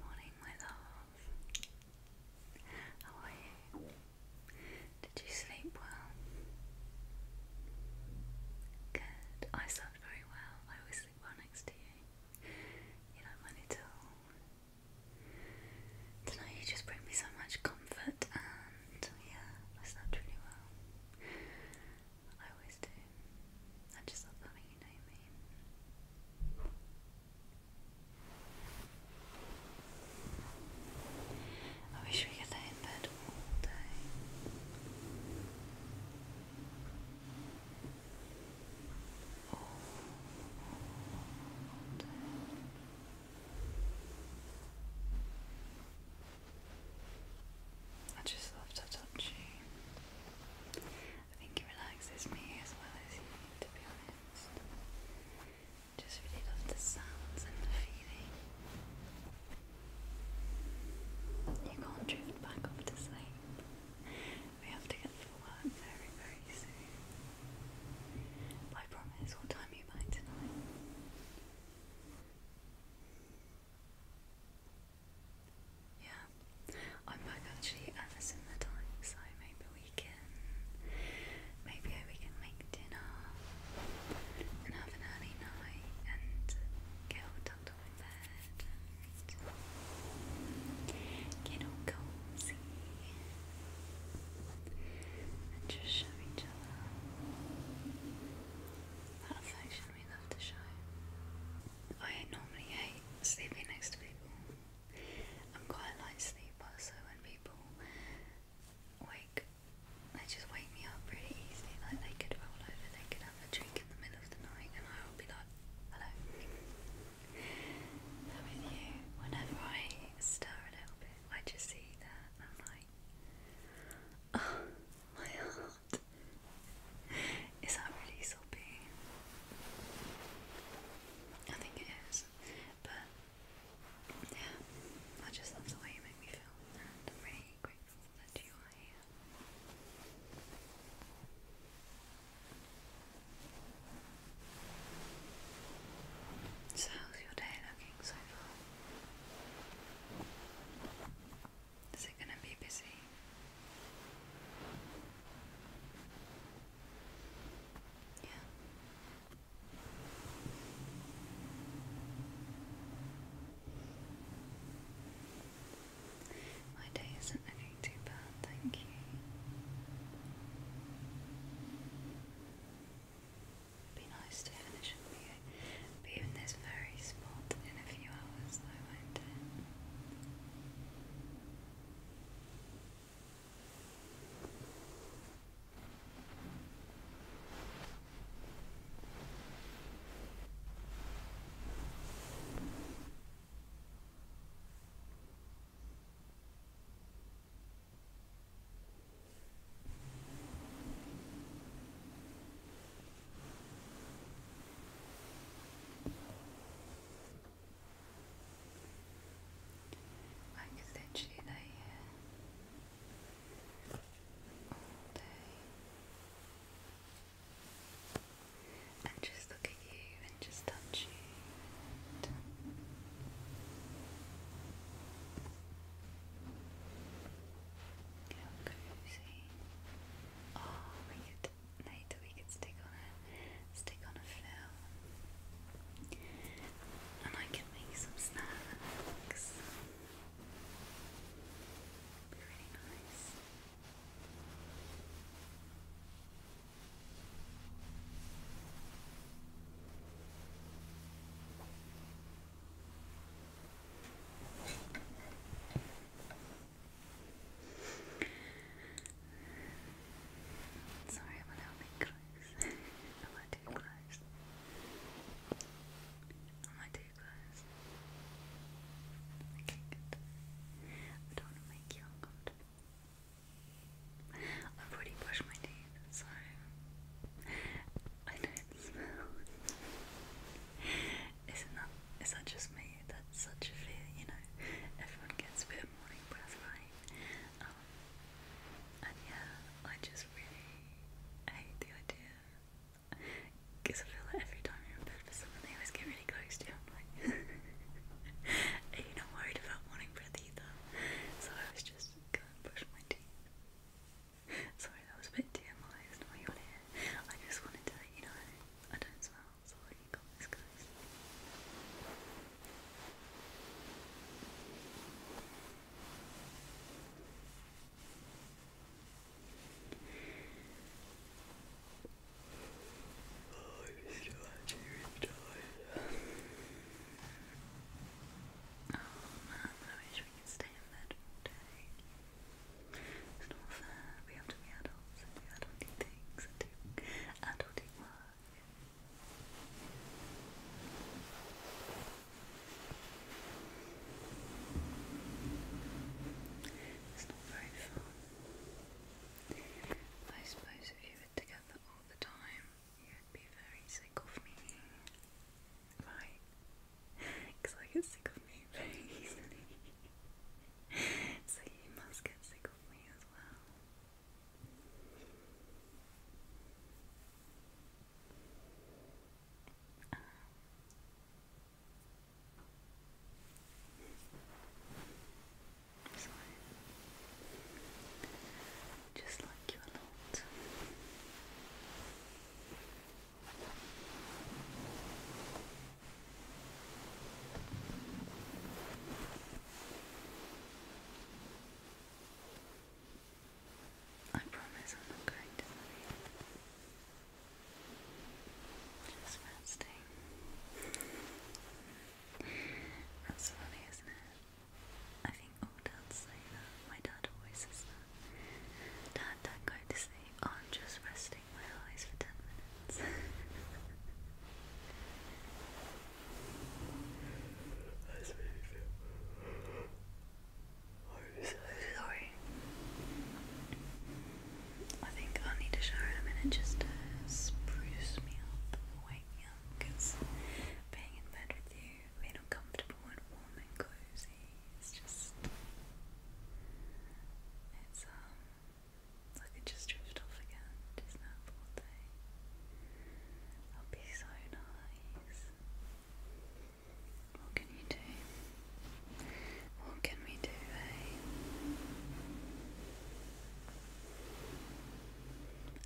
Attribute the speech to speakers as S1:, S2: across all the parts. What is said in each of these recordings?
S1: Morning, my love. How are you? Did you sleep well? Good. I slept very well. I always sleep well next to you. You don't mind Tonight you just bring me so much comfort and yeah, I slept really well. I always do. I just love having you know me. I wish we could stay in bed all day. all day. I just love to touch you. I think it relaxes me as well as you, to be honest. Just really love the sounds and the feeling. You can't drift back up to sleep. We have to get for work very, very soon. I promise we time you back tonight. Yeah, I'm back actually at a the time, so maybe we can, maybe we can make dinner and have an early night and get all tucked up in bed get all cozy and just show each other that affection we love to show. I normally hate sleeping next to people. I'm quite a light sleeper, so when people wake, they just wake me up pretty easily. Like they could roll over, they could have a drink in the middle of the night, and I'll be like, hello. But you, whenever I stir a little bit, I just see that, and I'm like, oh, my heart. Is that really soppy? I think it is, but yeah, I just love the way you make me feel, and I'm really grateful that you are here. So how's your day looking so far? Is it going to be busy? Yeah. My day isn't looking too bad, thank you. be nice to finish but even this very spot in a few hours, I won't like literally lay here all day and just look at you and just touch you and how cozy Oh, we could later we could stick on a stick on a film, and I could make some snacks. it nice. Sorry about helping close. Am I too close? Am I too close? Okay, I don't want to make you uncomfortable. I've already brushed my teeth, so I know it smells. Isn't that, is that just me? That's such a fear, you know. Everyone gets a bit morning breath, right? Um, and yeah, I just really hate the idea. Because I feel like every time you're in bed for someone, they always get really close to you. I'm like, are you not worried about morning breath either? So I was just going to brush my teeth. Sorry, that was a bit TMI, it's not what you want to hear. I just wanted to let you know I don't smell, so you got this, guys. Oh, it's not fair. We have to be adults and do things and do adulty It's not very fun. I suppose if you were together all the time, you'd be very sick of me. Right? Because I get sick of me very easily. so you must get sick of me as well. Um, sorry just like you a lot. I promise I'm not going to Just fasting. That's funny, isn't it? I think all dads say that. My dad always says that. Dad, don't go to sleep. I'm just resting my eyes for 10 minutes. That's really feel. sorry. I think i need a shower in just to spruce me up wake me up because being in bed with you real comfortable and warm and cozy. It's just, it's um, I could just drift off again, just that all day. That'll be so nice. What can you do? What can we do, eh?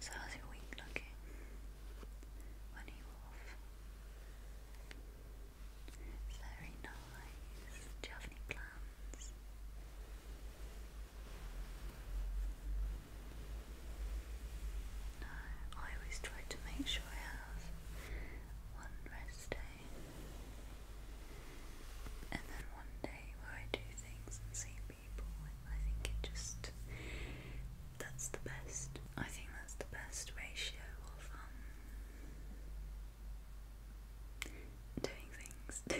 S1: So how's your week looking? Very nice. Do you have any plans? No, I always try to make sure I have one rest day and then one day where I do things and sleep people, and I think it just that's the best. I think that's the best ratio of um, doing things. the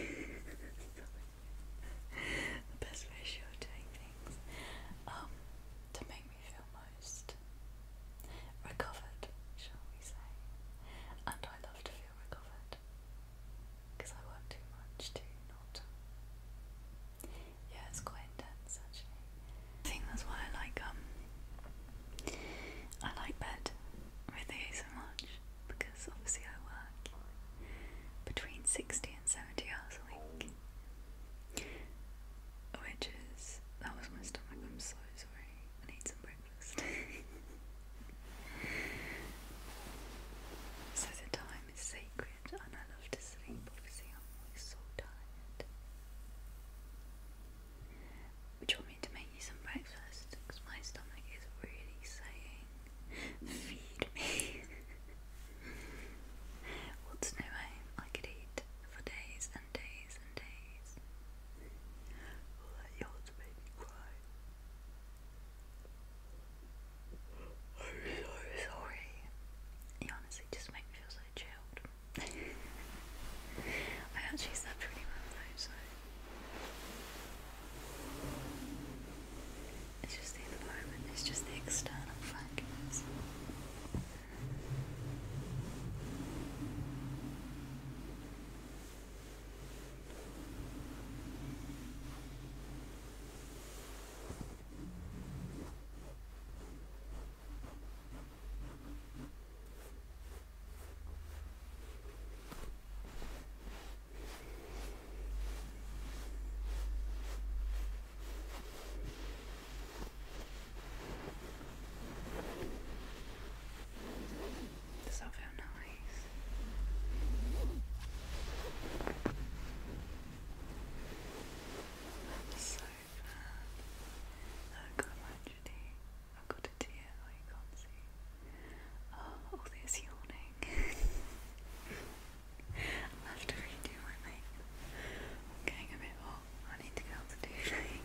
S1: best ratio of doing things. Um, to make me feel most recovered, shall we say. And I love to feel recovered. Because I work too much to not yeah, it's quite intense actually. I think that's why I like um I like bed with you so much because obviously I work between sixty and seventy hours a week. Which is that was my stomach, I'm so sorry. I need some breakfast. so the time is sacred and I love to sleep obviously I'm always so tired do you want me to make you some breakfast? because my stomach is really saying feed me what's new home I could eat for days and days and days all that yours made me cry I'm so sorry. You honestly just make me feel so chilled. I actually slept really well though, so it's just the environment, it's just the external factors. Does that feel nice? i so I've got a tragedy. I've got a tear that you can't see. Oh, this yawning. i have to redo my getting a bit hot. I need to go to do thing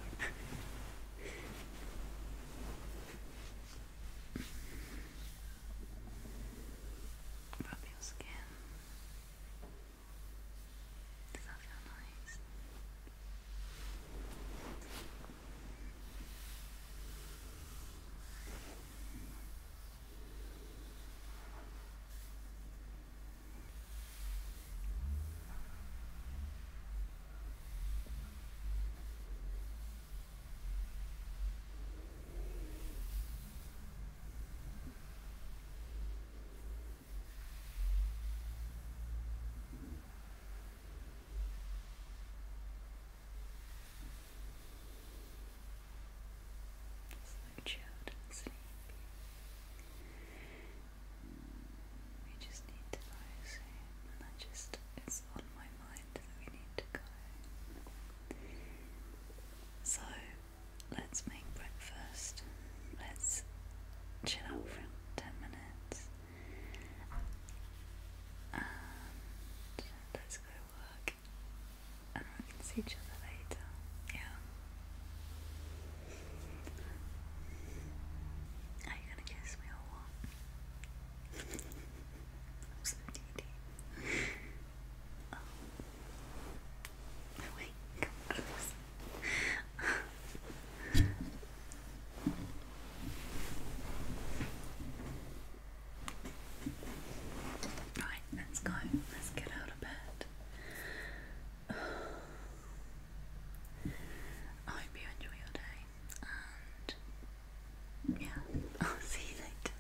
S1: from your skin. Does that feel nice? so chilled and We just need to rise in, and I just, it's on my so let's make breakfast. Let's chill out for 10 minutes. let's go work. And we can see each other later. Yeah. Are you gonna kiss me or what? I'm so needy. right, let's go. Let's get out of bed. I hope you enjoy your day yeah, I'll see you later.